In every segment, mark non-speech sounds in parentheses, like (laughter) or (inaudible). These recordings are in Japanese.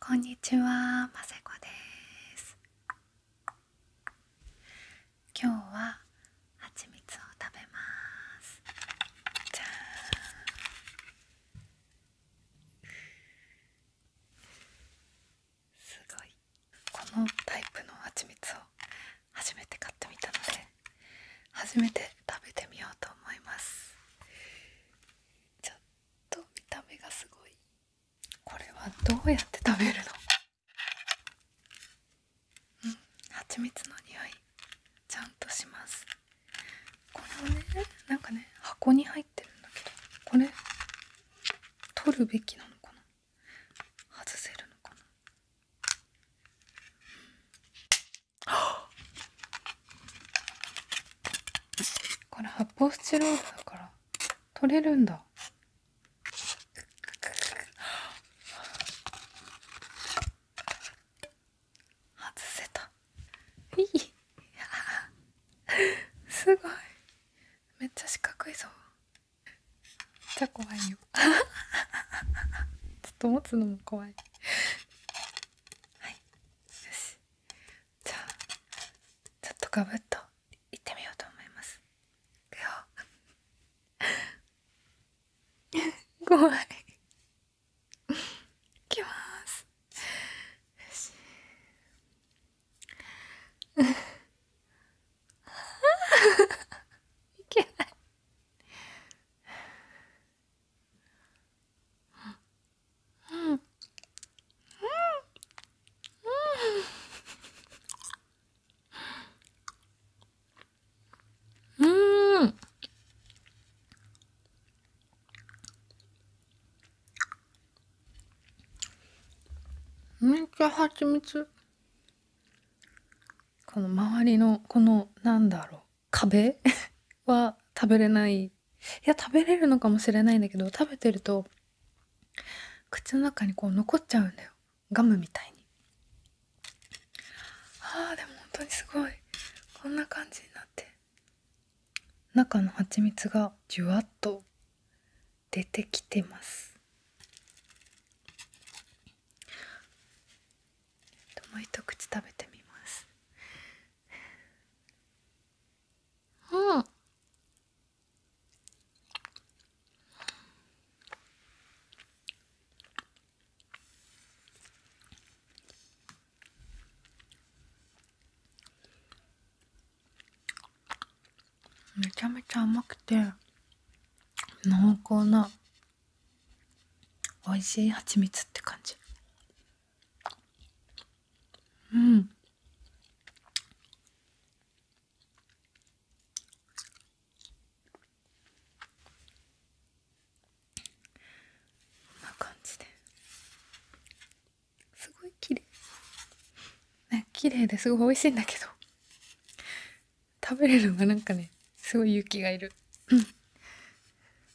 こんにちは、ませこです今日は蜂蜜を食べますじゃんすごいこのタイプの蜂蜜を初めて買ってみたので初めて食べてみようと思いますちょっと見た目がすごいこれはどうやって食べるのうん蜂蜜の匂いちゃんとしますこれをねなんかね箱に入ってるんだけどこれ取るべきなのかな外せるのかなこれ発泡スチロールだから取れるんだ外せた (laughs) すごいめっちゃ四角いぞめっちゃ怖いよ (laughs) ちょっと持つのも怖いはいよしじゃあちょっとガブッといってみようと思いますいくよ (laughs) 怖いいきますよしああ、いけないうんうんうん。めっちゃ蜂蜜この周りのこのなんだろう壁 (laughs) は食べれないいや食べれるのかもしれないんだけど食べてると口の中にこう残っちゃうんだよガムみたいにあーでも本当にすごいこんな感じになって中の蜂蜜がジュワッと出てきてますもう一口食べてみますうんめちゃめちゃ甘くて濃厚な美味しい蜂蜜って感じうんこんな感じですごい綺麗ね綺麗ですごい美味しいんだけど食べれるのがなんかねすごい勇気がいるうん。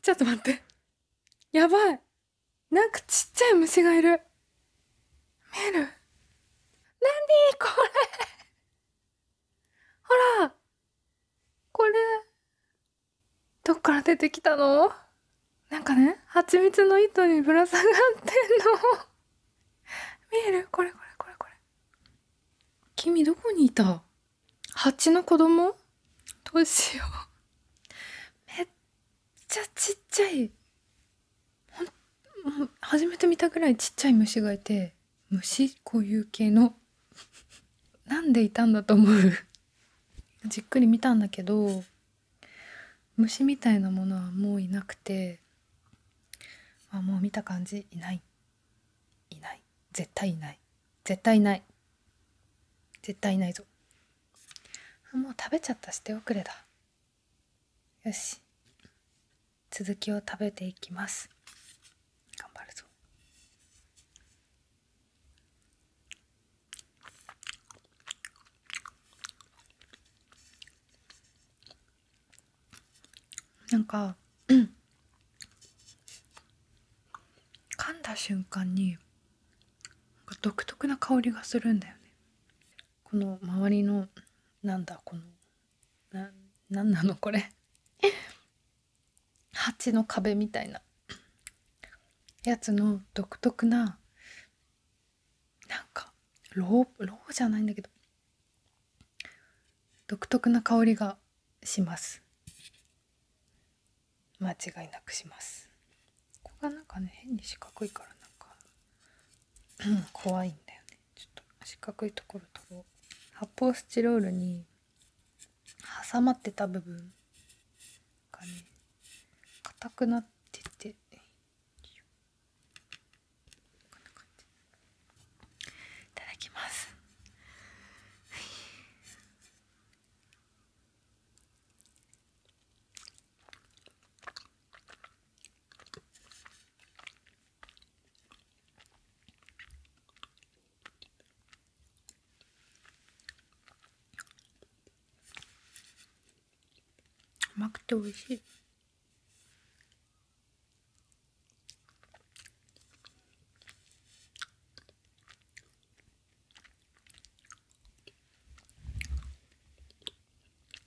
ちょっと待って。やばい。なんかちっちゃい虫がいる。メル。何これほらこれどっから出てきたのなんかね蜂蜜の糸にぶら下がってんの見えるこれこれこれこれ君どこにいた蜂の子供どうしようめっちゃちっちゃいもう初めて見たぐらいちっちゃい虫がいて虫固有系の (laughs) なんでいたんだと思う (laughs) じっくり見たんだけど虫みたいなものはもういなくてあもう見た感じいないいない絶対いない絶対いない絶対いないぞもう食べちゃったしておくれだよし続きを食べていきます頑張るぞなんか、うん、噛んだ瞬間に独特な香りがするんだよねこの周りのなんだこのな何なのこれ蜂 (laughs) の壁みたいなやつの独特ななんかローローじゃないんだけど独特な香りがします間違いなくしますここがなんかね変に四角いからなんか怖いんだよねちょっと四角いところと。発泡スチロールに挟まってた部分がね硬くなっててこんな感じ。いただきますはい。甘くて美味しい。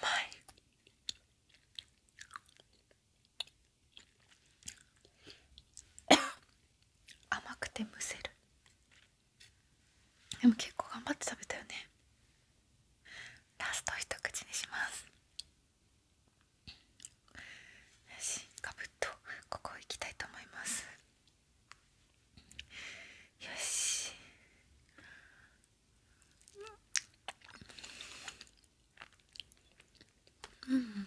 甘い甘くてむせるでも結構頑張って食べたよねラスト一口にしますよし、かぶっとここ行きたいと思いますよしうん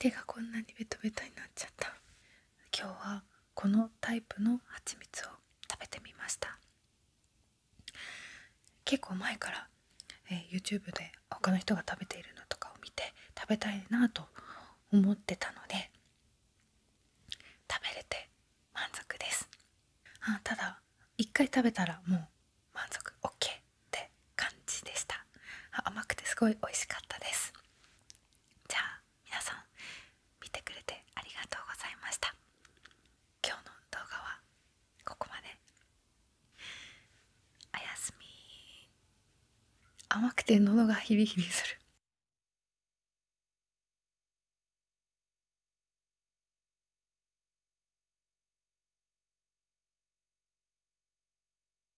手がこんなにベトベトになっちゃった今日はこのタイプの蜂蜜を食べてみました結構前から、え YouTube で他の人が食べているのとかを見て食べたいなと思ってたので食べれて満足ですあただ一回食べたらもう満足 OK って感じでした甘くてすごい美味しかったですじゃあ皆さん見てくれてありがとうございました今日の動画はここまでおやすみ甘くて喉がヒビヒビする